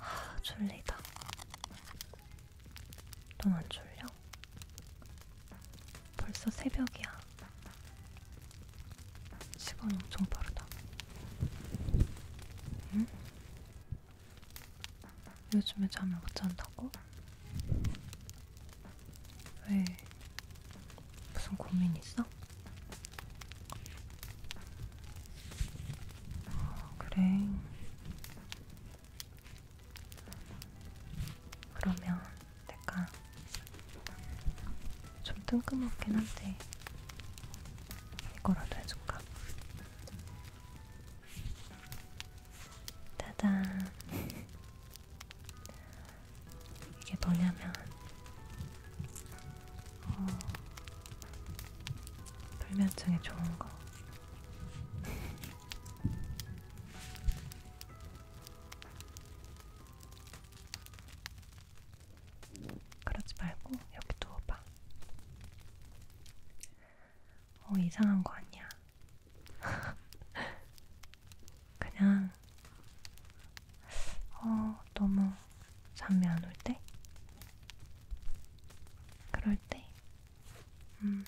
아, 졸리다. 넌안 졸려? 벌써 새벽이야. 시간 엄청 빠르다. 응? 요즘에 잠을 못 잔다고? 왜? 무슨 고민 있어? 아, 그래. 그러면 내가 좀 뜬금없긴 한데 이거라도 해줄까? 짜잔. 이게 뭐냐면 어, 불면증에 좋은 거. 그러지 말고 여기 누워봐. 어, 이상한 거 아니야. 그냥 어, 너무 잠이 안 올 때? 그럴 때? 음.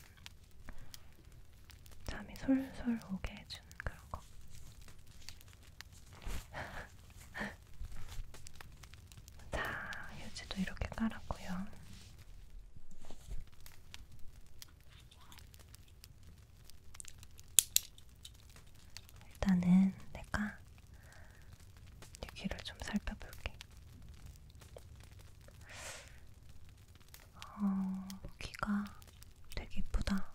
잠이 솔솔 오게 해주는 그런 거. 자, 휴지도 이렇게 깔았고요. 일단은 내가 여기를 좀 살펴볼게. 어, 귀가 되게 이쁘다.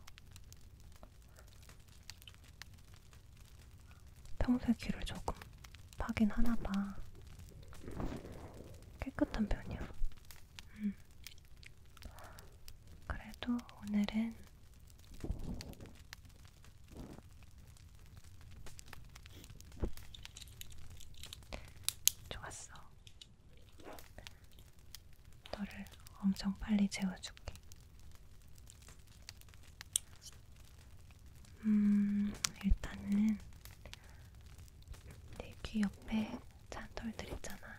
평소에 귀를 조금 파긴 하나봐. 깨끗한 편이야. 음. 그래도 오늘은 좋았어. 너를 엄청 빨리 재워줄게. 음, 일단은 내 귀 옆에 잔털들 있잖아.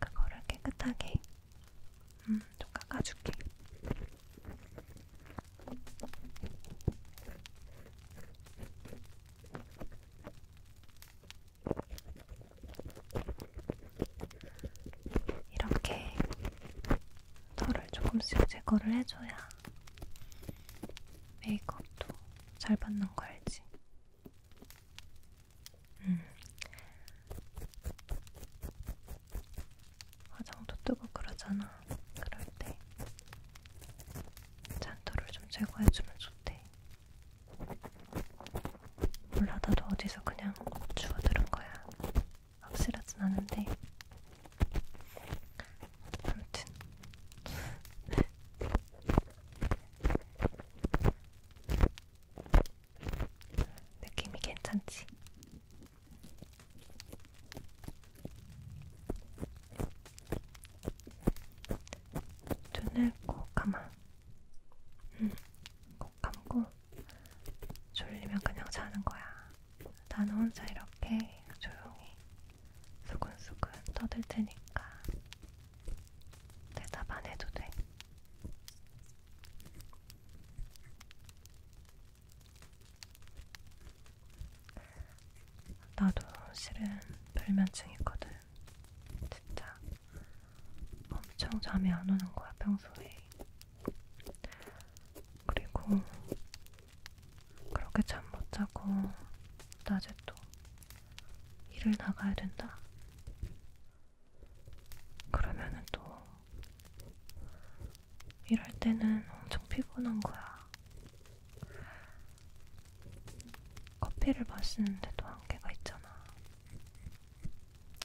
그거를 깨끗하게 음, 좀 깎아줄게. 이렇게 털을 조금씩 제거를 해줘야 메이크업도 잘 받는 거 알지? 음. 화장도 뜨고 그러잖아. 그럴 때 잔털을 좀 제거해주면 좋대. 몰라 나도 어디서 그냥 주워 들은 거야. 확실하진 않은데 아무튼 느낌이 괜찮지? 눈을 꼭 감아. 응, 꼭 감고 졸리면 그냥 자는 거야. 난 혼자 이렇게 조용히 수근수근 떠들 테니까 대답 안 해도 돼. 나도 실은 불면증 있거든. 진짜 엄청 잠이 안 오는 거야 평소에. 그리고 그렇게 잠 못 자고 낮에 또 일을 나가야 된다. 그러면은 또 일할 때는 엄청 피곤한 거야. 커피를 마시는데도 한계가 있잖아.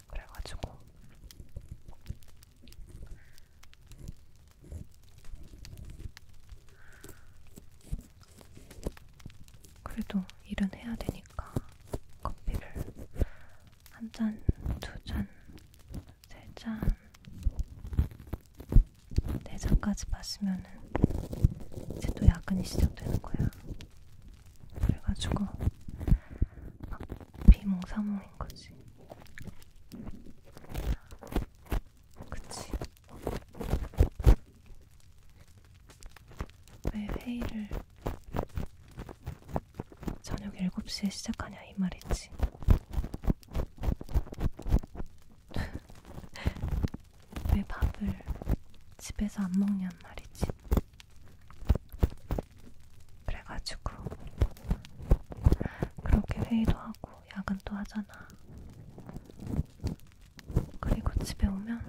그래가지고 그래도 일은 해야 되니까 커피를 한 잔, 두 잔, 세 잔, 네 잔까지 마시면은 이제 또 야근이 시작되는 거야. 그래가지고 막 비몽사몽인 거지. 그치? 왜 회의를 저녁 7시에 시작하냐 이 말이지. 왜 밥을 집에서 안 먹냐는 말이지. 그래가지고 그렇게 회의도 하고 야근도 하잖아. 그리고 집에 오면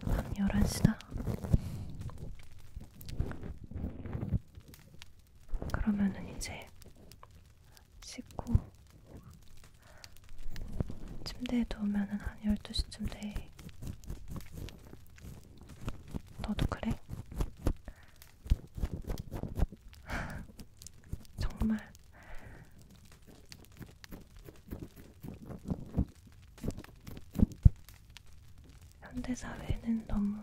밤 11시다. 그러면은 이제 씻고 침대에 누우면은 한 12시쯤 돼. 너도 그래? 정말 현대사회는 너무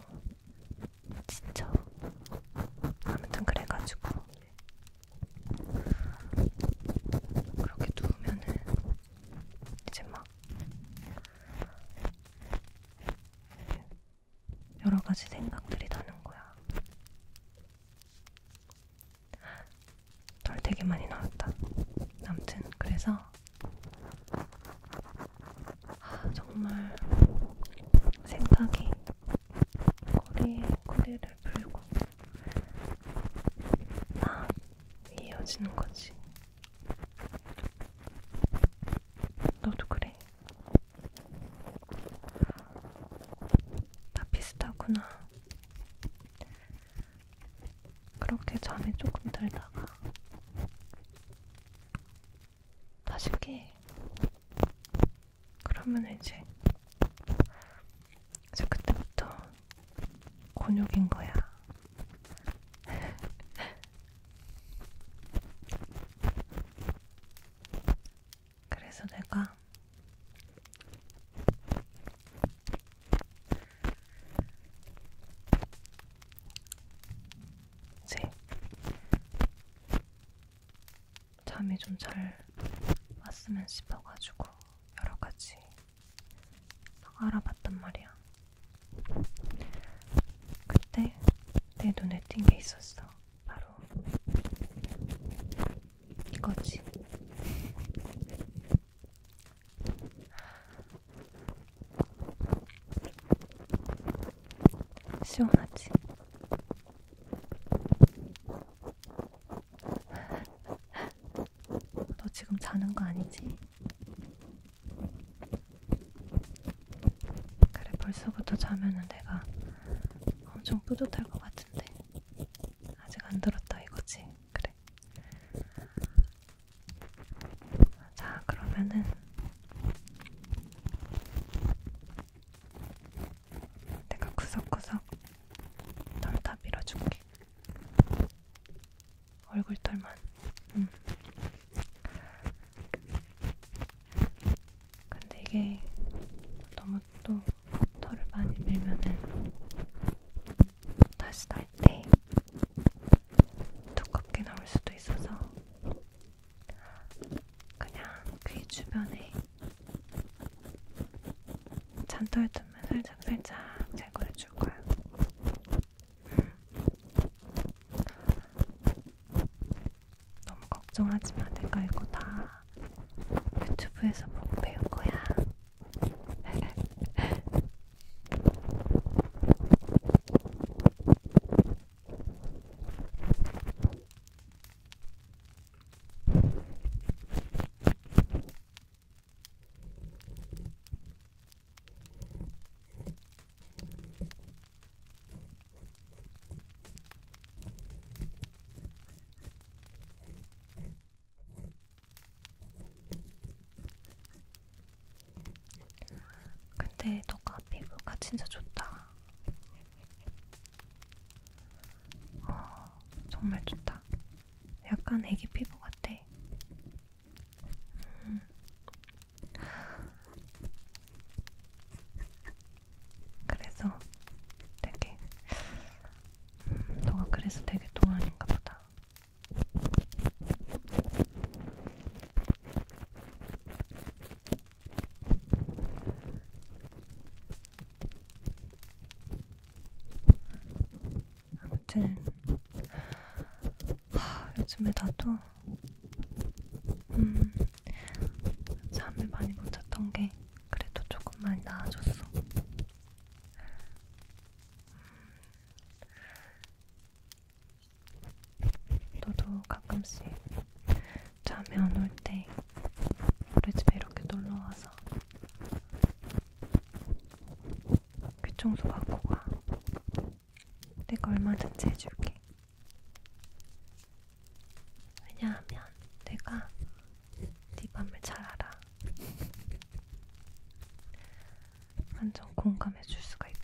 지쳐. 아무튼 그래가지고 그렇게 누우면은 이제 막 여러 가지 생각들이 나는 거야. 털 되게 많이 나왔다. 아무튼 그래서 아, 정말 생각이 꼬리에 꼬리를 풀고 막 이어지는 거지. 너도 그래? 다 비슷하구나. 그렇게 잠에 조금 들다가 다시 깨. 그러면 이제 그래서 그때부터 곤욕인 거야. 그래서 내가 이제 잠이 좀 잘 왔으면 싶어가지고 여러 가지 막 알아봤단 말이야. 그때 내 눈에 띈 게 있었어. 바로 이거지. 시원하지? 너 지금 자는 거 아니지? 그래, 벌써부터 자면은 내가 엄청 뿌듯할 것 같은데. 아직 안 들었다 이거지? 그래. 자, 그러면은 내가 구석구석 널 다 밀어줄게. 얼굴털만. 음. 근데 이게 너무 또 털을 많이 밀면은 다시 날 때 두껍게 나올 수도 있어서 그냥 귀 주변에 잔털 틈만 살짝살짝 제거해줄 거야. 너무 걱정하지 마. 내가 이거 다 유튜브에서 보고 배운 거야. 근데 너가 피부가 진짜 좋다. 어, 정말 좋다. 약간 애기 피부 같아. 음. 그래서 되게 음, 너가 그래서 되게 동안인가 보다. 아무튼 하, 요즘에 나도 음, 잠을 많이 못 잤던 게 그래도 조금 많이 나아졌어. 음, 너도 가끔씩 잠이 안 올 때 우리 집에 이렇게 놀러와서 귀청소 갖고 가. 내가 얼마든지 해줄게. 왜냐하면 내가 네 맘을 잘 알아. 완전 공감해줄 수가 있거든.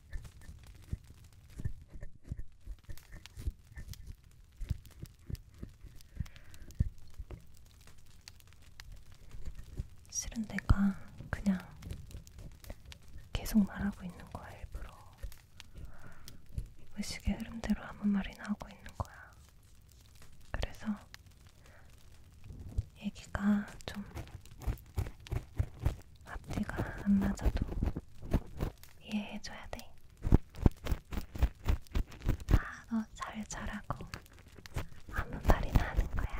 실은 내가 그냥 계속 말하고 있는 거야, 일부러. 의식의 흐름대로 아무 말이나 하고 있는 거야. 그래서 얘기가 좀 앞뒤가 안 맞아도 이해해줘야 돼. 아, 너잘 자라고 아무 말이나 하는 거야.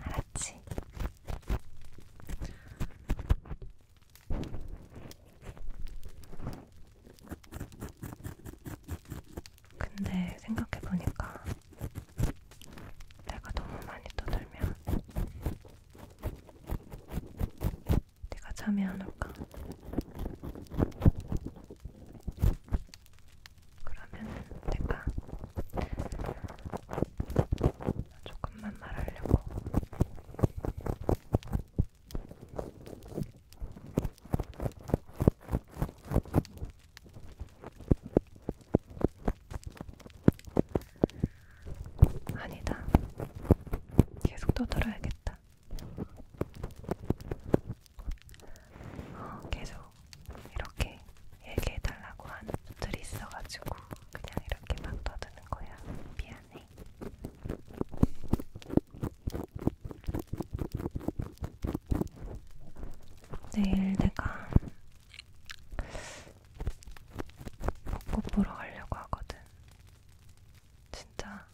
알았지? 근데 생각해보니까 내가 너무 많이 떠들면 내가 잠이 안 올까? 그러면 내가 조금만 말하려고 아니다. 계속 떠들어야겠다. 어, 계속 이렇게 얘기해달라고 하는 분들이 있어가지고 그냥 이렇게 막 떠드는 거야. 미안해. 내일 내가 벚꽃 보러 가려고 하거든. 진짜.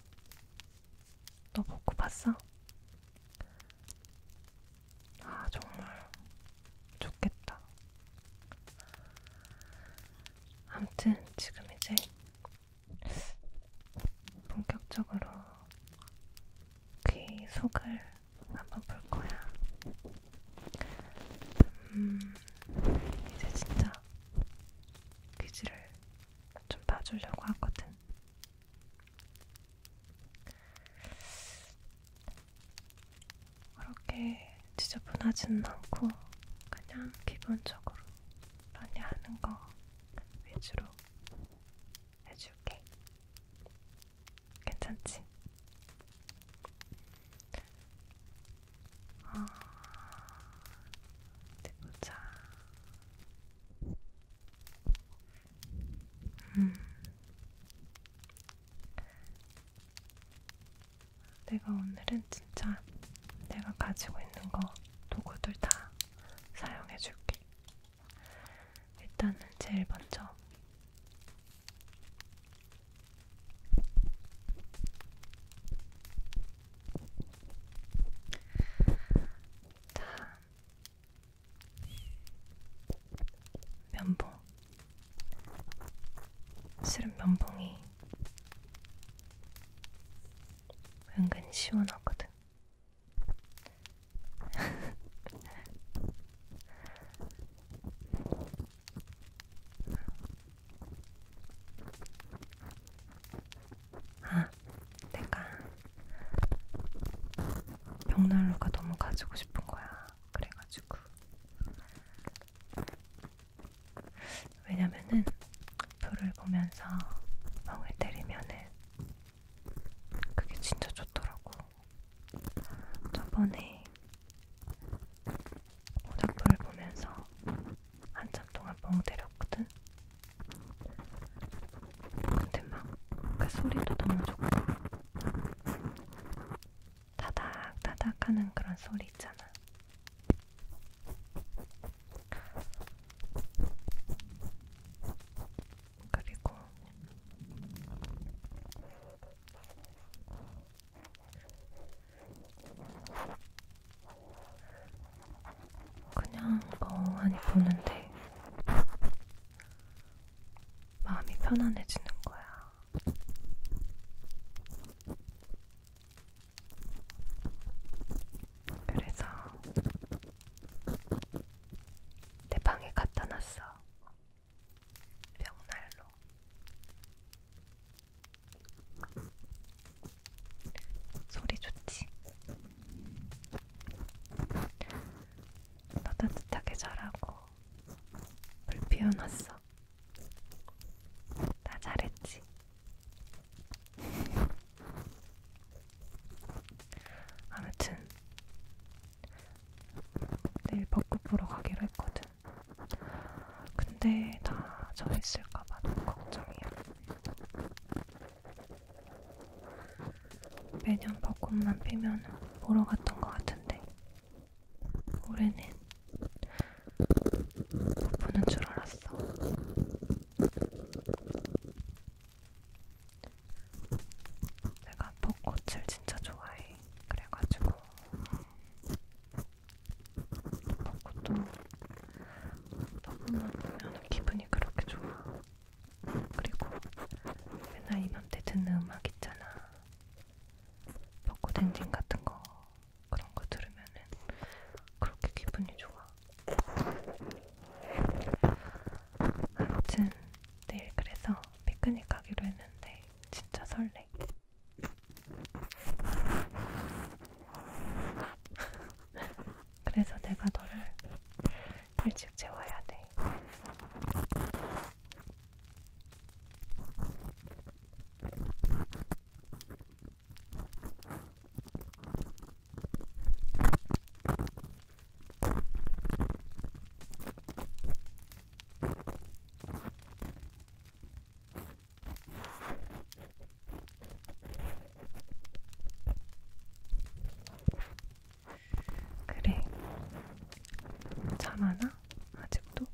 너 벚꽃 봤어? 아, 정말. 좋겠다. 아무튼 지금 이제 본격적으로 귀 속을 한번 볼 거야. 음, 이제 진짜 퀴즈를 좀 봐주려고 하거든. 그렇게 지저분하진 않고 그냥 기본적으로 러닝하는 거 위주로 해줄게. 괜찮지? 아, 어디 보자. 음. 내가 오늘은 진짜 내가 가지고 있는 거 도구들 다 사용해줄게. 일단은 제일 먼저 자, 면봉. 실은 면봉이 은근히 시원하거든. 아, 내가 벽난로가 너무 가지고 싶은 거야. 그래가지고 왜냐면은 불을 보면서 멍을 때리면은 그게 진짜 좋더라고. 저번에 오작풀을 보면서 한참 동안 멍 때렸거든. 근데 막 그 소리도 너무 좋고 타닥 타닥하는 그런 소리 있잖아. 그리고 그냥 멍하니 보는데 마음이 편안해지는 거야. 그래서 내 방에 갖다 놨어. 벽난로 소리 좋지? 너 따뜻하게 자라고 불 피워놨어 나 잘했지? 아무튼 내일 벚꽃 보러 가기로 했거든. 근데 나저 있을까봐 너무 걱정이야. 매년 벚꽃만 피면 보러 갔던 것 같은데 올해는 못 보는 줄 알았어. 내가 벚꽃을 진짜 좋아해. 그래가지고 벚꽃도 너무나 보면 기분이 그렇게 좋아. 그리고 맨날 이맘때 듣는 음악 있잖아. 벚꽃 엔진 같은 거 그런 거 들으면은 그렇게 기분이 좋아. 아무튼 내일 그래서 피크닉 가기로 했는데 진짜 설레. 그래서 내가 너를 일찍 재워야 돼. 그래, 잠하나? 아직도?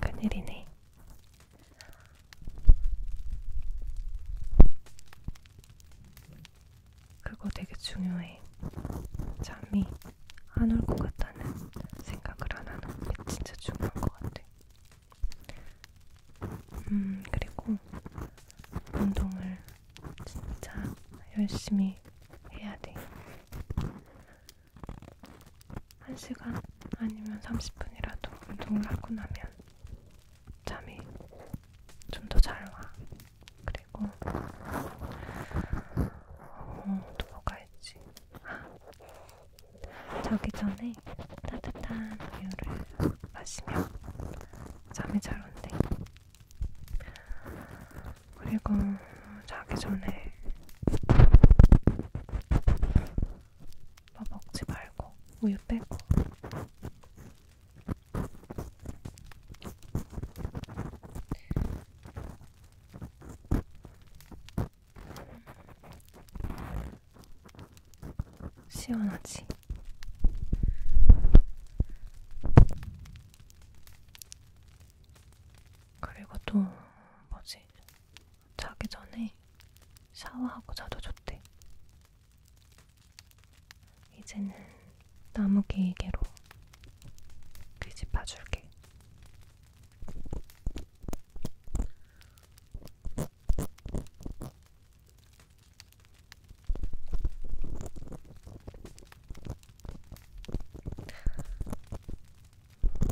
큰일이네. 그거 되게 중요해. 잠이 안 올 것 같다는 생각을 안 하는 게 진짜 중요한 것 같아. 음, 그리고 운동을 진짜 열심히 해야 돼. 1시간 아니면 30분이라도 운동을 하고 나면 잠이 좀 더 잘 와. 그리고 어, 또 뭐가 있지? 아, 자기 전에 따뜻한 우유를 마시면 잠이 잘 온대. 그리고 자기 전에 밥 먹지 말고 우유 빼고. 시원하지? 그리고 또 뭐지? 자기 전에 샤워하고 자도 좋대. 이제는 나무 기계로 뒤집어줄게.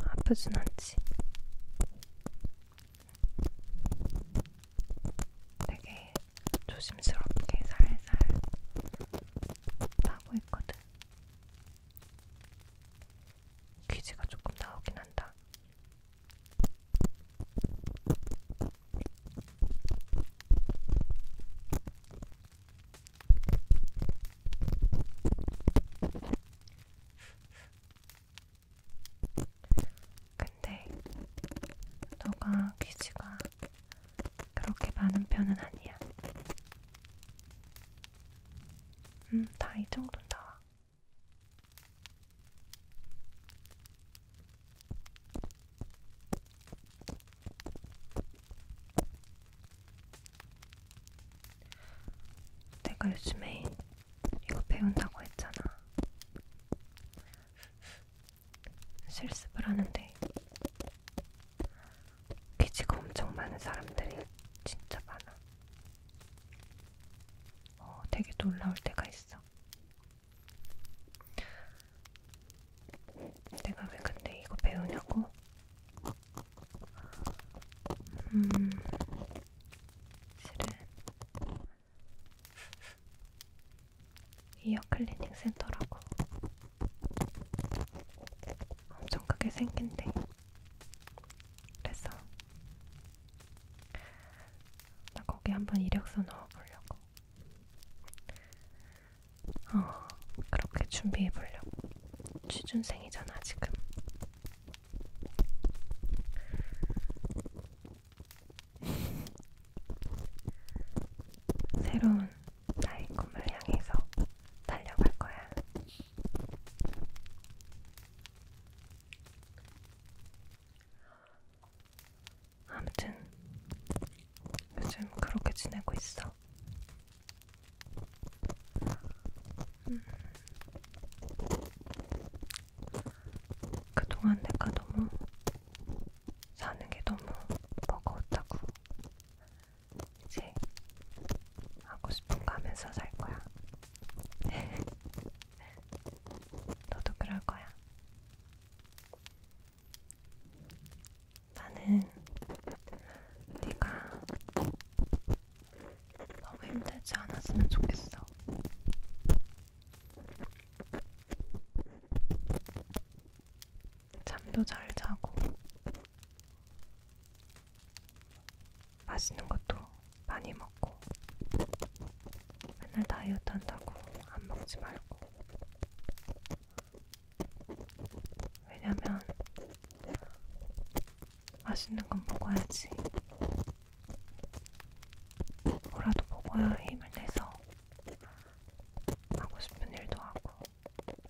아프진 않지. 되게 조심스럽게 살살 타고 있거든. 귀지가 조금 나오긴 한다. 근데 너가 귀지가 그렇게 많은 편은 아니야. 음, 다 이 정도는 나와. 내가 요즘에 이거 배운다고 했잖아. 실습을 하는데 귀지가 엄청 많은 사람들이 진짜 많아. 어, 되게 놀라울 때가 있어. 내가 왜 근데 이거 배우냐고? 음, 실은 이어 클리닝 센터라고 엄청 크게 생긴데 그래서 나 거기 한번 이력서 넣어보려고 어 그렇게 준비해보려고 취준생이잖아 지금 새로운 나의 꿈을 향해서 달려갈 거야. 아무튼 요즘 그렇게 지내고 있어. 음. 그동안 내가 너무 사는 게 너무 버거웠다고. 이제 하고 싶은 거 하면서 살 거야. 너도 그럴 거야. 나는 네가 너무 힘들지 않았으면 좋겠어. 잠도 잘 자고, 맛있는 것도 많이 먹고, 맨날 다이어트 한다고 안 먹지 말고. 왜냐면 맛있는 건 먹어야지. 뭐라도 먹어야 힘을 내서 하고 싶은 일도 하고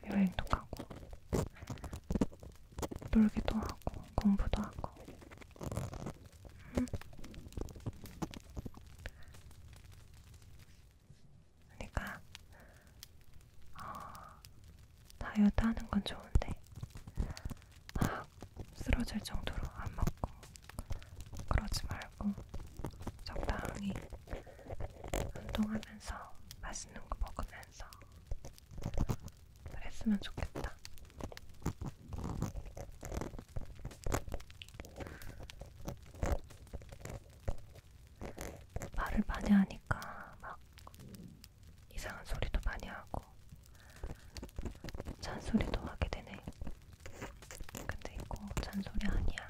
여행도 가고 놀기도 하고 공부도 하고 음. 그러니까 어, 다이어트 하는 건 좋은데 막 쓰러질 정도로 안 먹고 그러지 말고 적당히 운동하면서 맛있는 거 먹으면서 그랬으면 좋겠다. 말을 많이 하니까 막 이상한 소리도 많이 하고 잔소리도 하게 되네. 근데 이거 잔소리 아니야.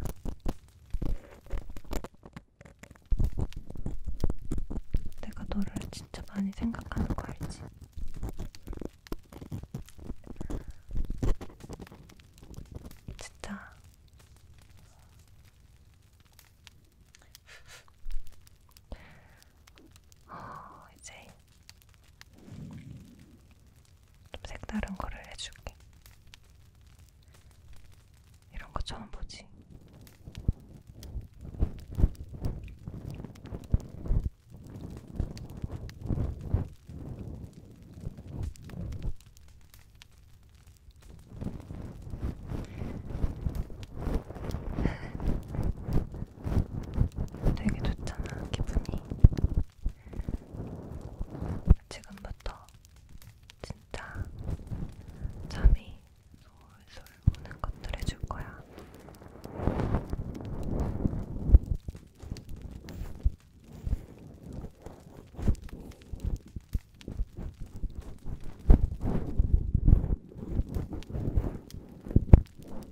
내가 너를 진짜 많이 생각하는 거 알지? 진짜 어, 이제 좀 색다른 거를 해줄게. 이런 거 처음 보지. 되게 좋잖아, 기분이. 지금부터 진짜 잠이 솔솔 오는 것들 해줄 거야.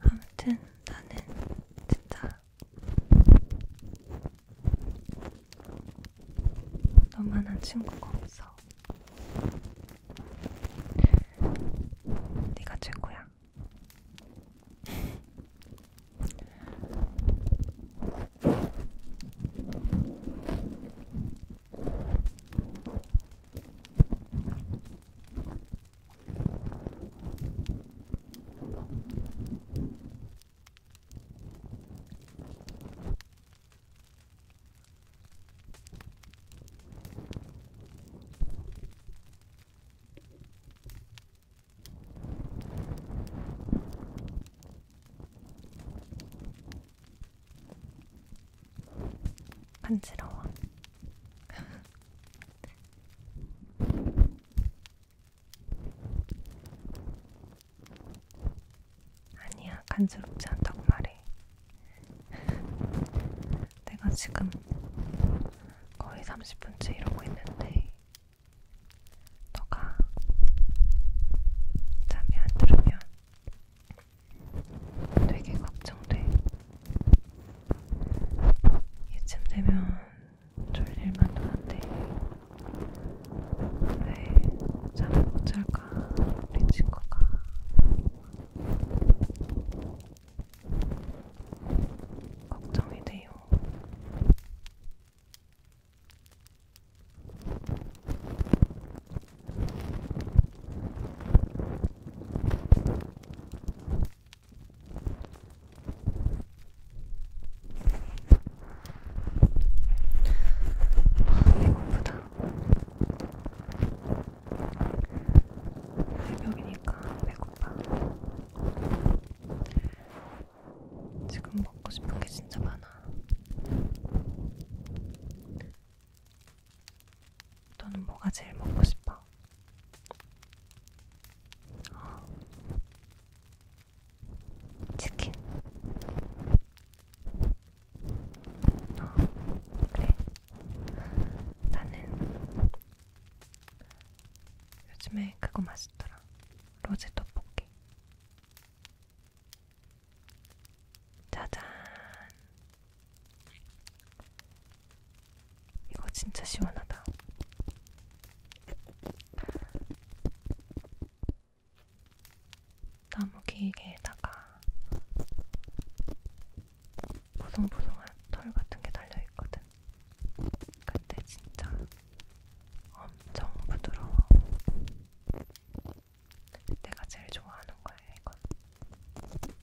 아무튼 나는 진짜 너만한 친구가 없어. 네가 최고야. 간지러워. 아니야, 간지럽지 않다고 말해. 내가 지금 거의 30분째 이러고 있는데, 너가 잠이 안 들으면 되게 걱정돼. 이쯤 되면 졸릴만도 한데 왜 잠을 못 잘까 우리 친구가 걱정이 돼요. 이거보다 새벽이니까 배고파. 지금 먹고 싶은 게 진짜 많아. 너는 뭐가 제일 먹고 싶어? 거야. 치킨. 그래. 나는 요즘에 그거 맛있더라. 로제 떡볶이. 짜잔. 이거 진짜 시원하다. 나무 길게에다가 보송보송한 털 같은 게 달려 있거든. 근데 진짜 엄청 부드러워. 내가 제일 좋아하는 거야 이건.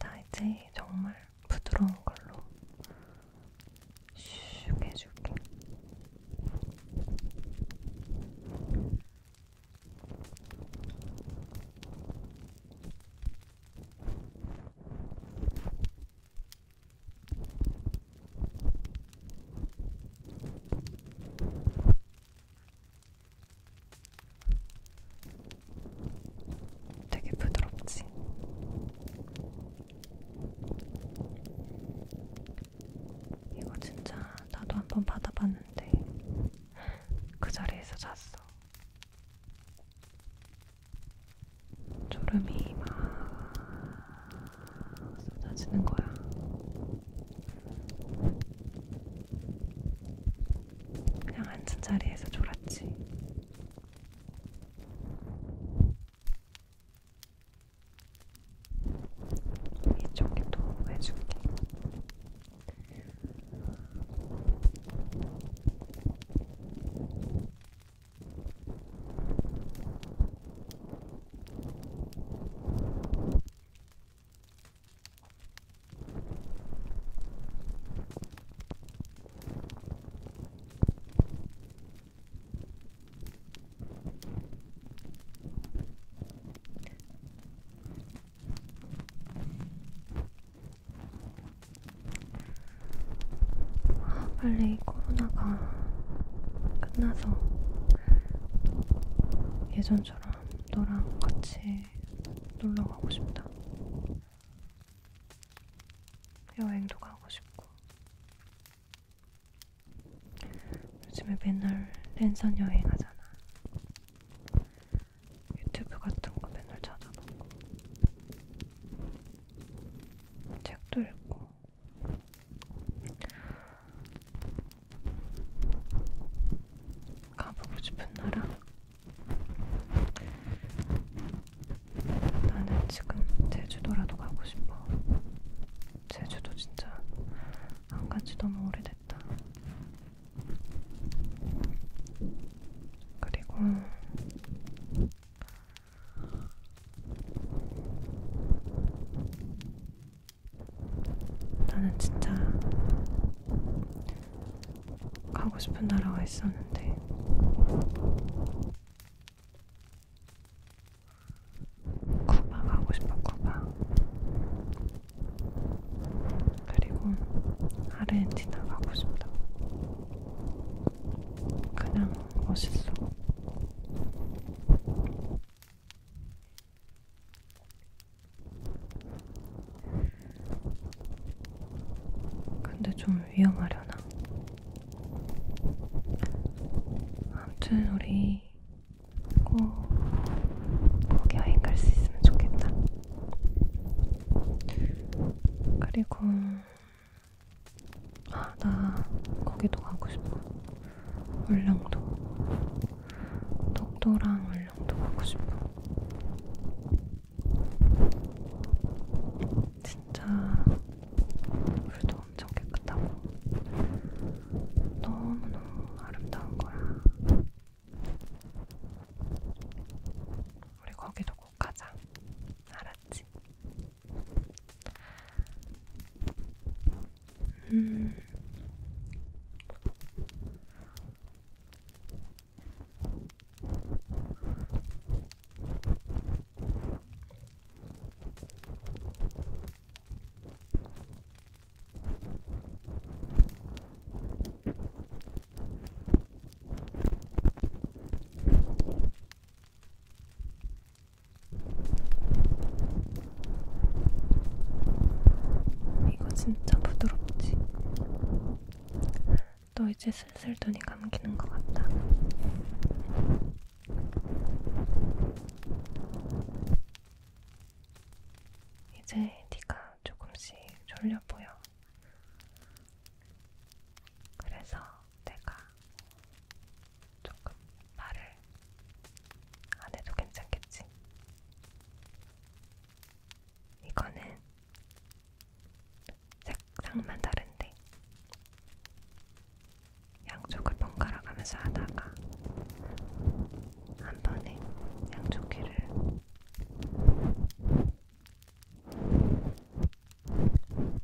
나 이제 정말 부드러운 걸로 슉 해줄게. 되게 부드럽지? 이거 진짜 나도 한번 받아봤는데 그 자리에서 잤어. 졸음이 막 쏟아지는 거야. 그냥 앉은 자리에서 졸았지. 이쪽에도 해줄게. 아, 빨리 코로나가 끝나서 예전처럼 너랑 같이 놀러 가고 싶다. 여행도 가고 싶고 요즘에 맨날 랜선 여행하잖아. 유튜브 같은 거 맨날 찾아보고 책도 읽고 가보고 싶은 나라? 나는 지금 제주도라도 가고 싶어. 제주도 진짜 안 간지 너무 오래됐다. 그리고 나는 진짜 가고 싶은 나라가 있었는데 쿠바 가고 싶어 쿠바 그리고 아르헨티나 가고 싶다 그냥 멋있어 근데 좀 위험하려나? 아무튼 우리 우리 꼭, 꼭 여행 갈 수 있으면 좋겠다. 그리고 아, 나 거기도 가고 싶어. 울릉도. 독도랑 울릉도 가고 싶어. 진짜 물도 엄청 깨끗하고 너무너무 아름다운 거야. 우리 거기도 꼭 가자. 알았지? 음. 이거 진짜 부드럽지? 또 이제 슬슬 눈이 감기는 것 같다. 이제 네가 조금씩 졸려 보여. 그래서 내가 조금 말을 안 해도 괜찮겠지? 이거는 색상만 다른데 양쪽을 번갈아 가면서 하다가 한 번에 양쪽 귀를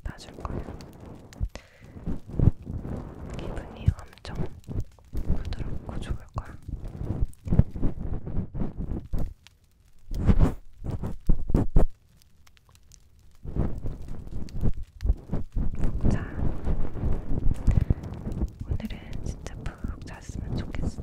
봐줄 거예요. 기분이 엄청 부드럽고 좋을 거야. 자, 오늘은 진짜 푹 잤으면 좋겠어.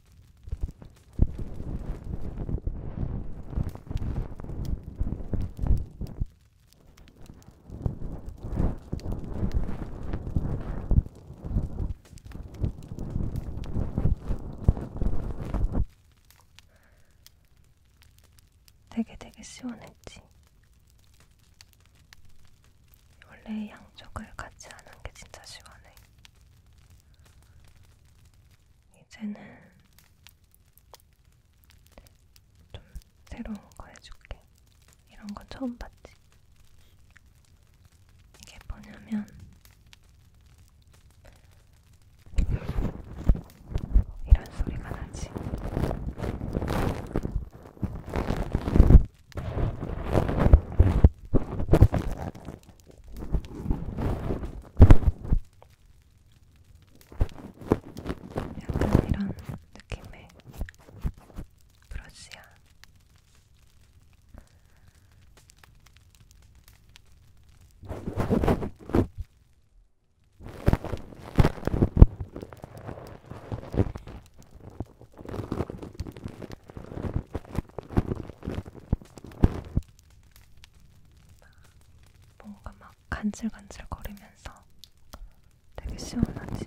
되게 되게 시원했지. 원래 양쪽을 같이 하는 게 진짜 시원해. 이제는 좀 새로운 거 해줄게. 이런 건 처음 봤지. 이게 뭐냐면 이런 소리가 나지. 약간 이런 느낌의 브러쉬야. 뭔가 막 간질간질 거리면서 되게 시원하지.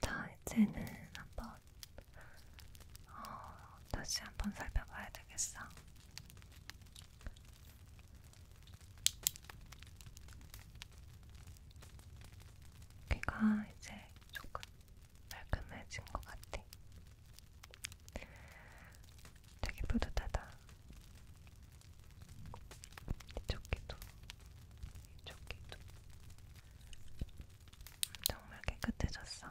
자, 이제는 한번 어, 다시 한번 살펴봐야 되겠어. 귀가 이제 조금 말끔해진 것 같아. 되게 뿌듯하다. 이쪽 귀도, 이쪽 귀도. 정말 깨끗해졌어.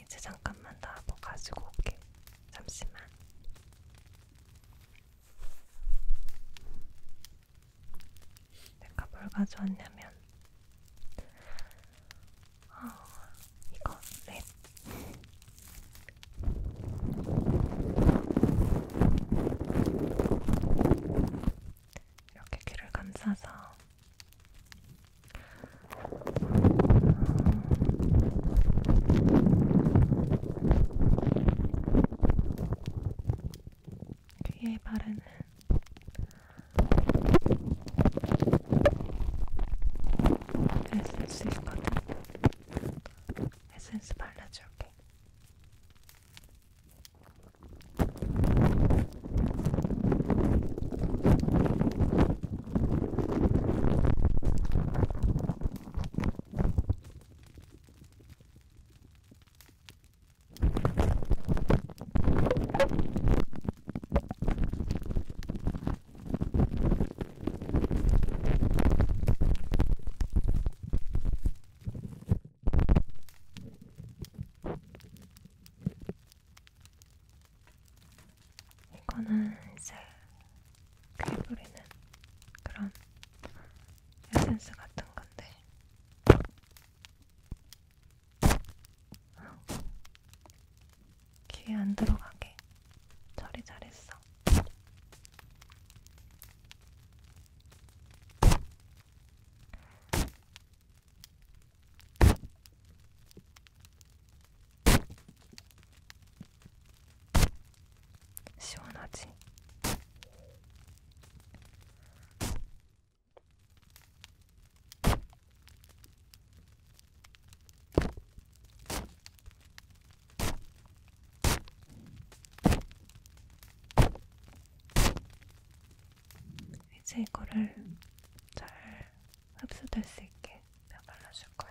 이제 잠깐만 나뭐 뭐 가지고 올게. 잠시만. 내가 뭘 가져왔냐면 어, 이거 랩. 네. 이렇게 귀를 감싸서 귀에 바르는 에센스 있거든. 에센스 발라줄게. 이거는 이제 그리브리는 그런 에센스 같은 건데 귀에 안 들어가게 처리 잘했어. 시원하지? 이제 이거를 잘 흡수될 수 있게 내가 발라줄 거야.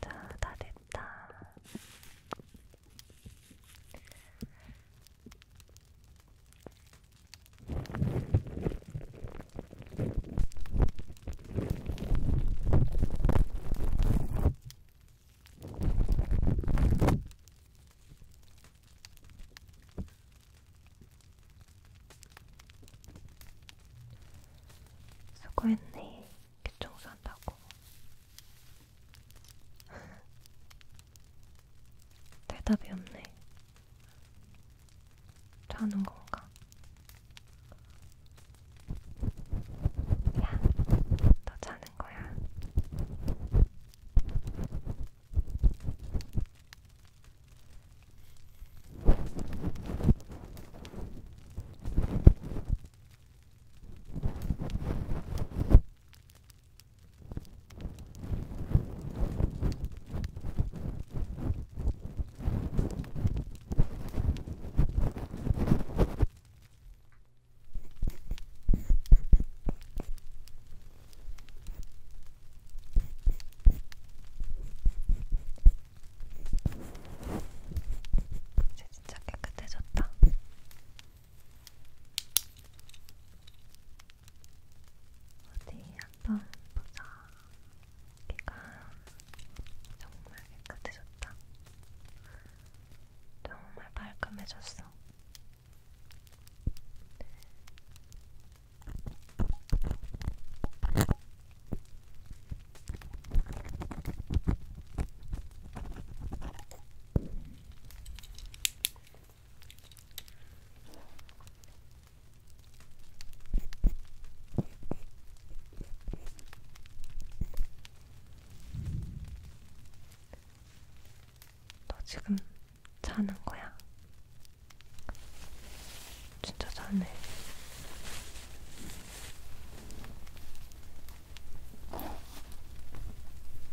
자, 다 됐다. 수고했네. 교통수 한다고. 대답이 없네. 자는 건가? 야, 너 자는 거야. 이제 진짜 깨끗해졌다. 어디 한번 보자. 여기가 정말 깨끗해졌다. 정말 깔끔해졌어. 너 지금 자는 거야? 진짜 자네.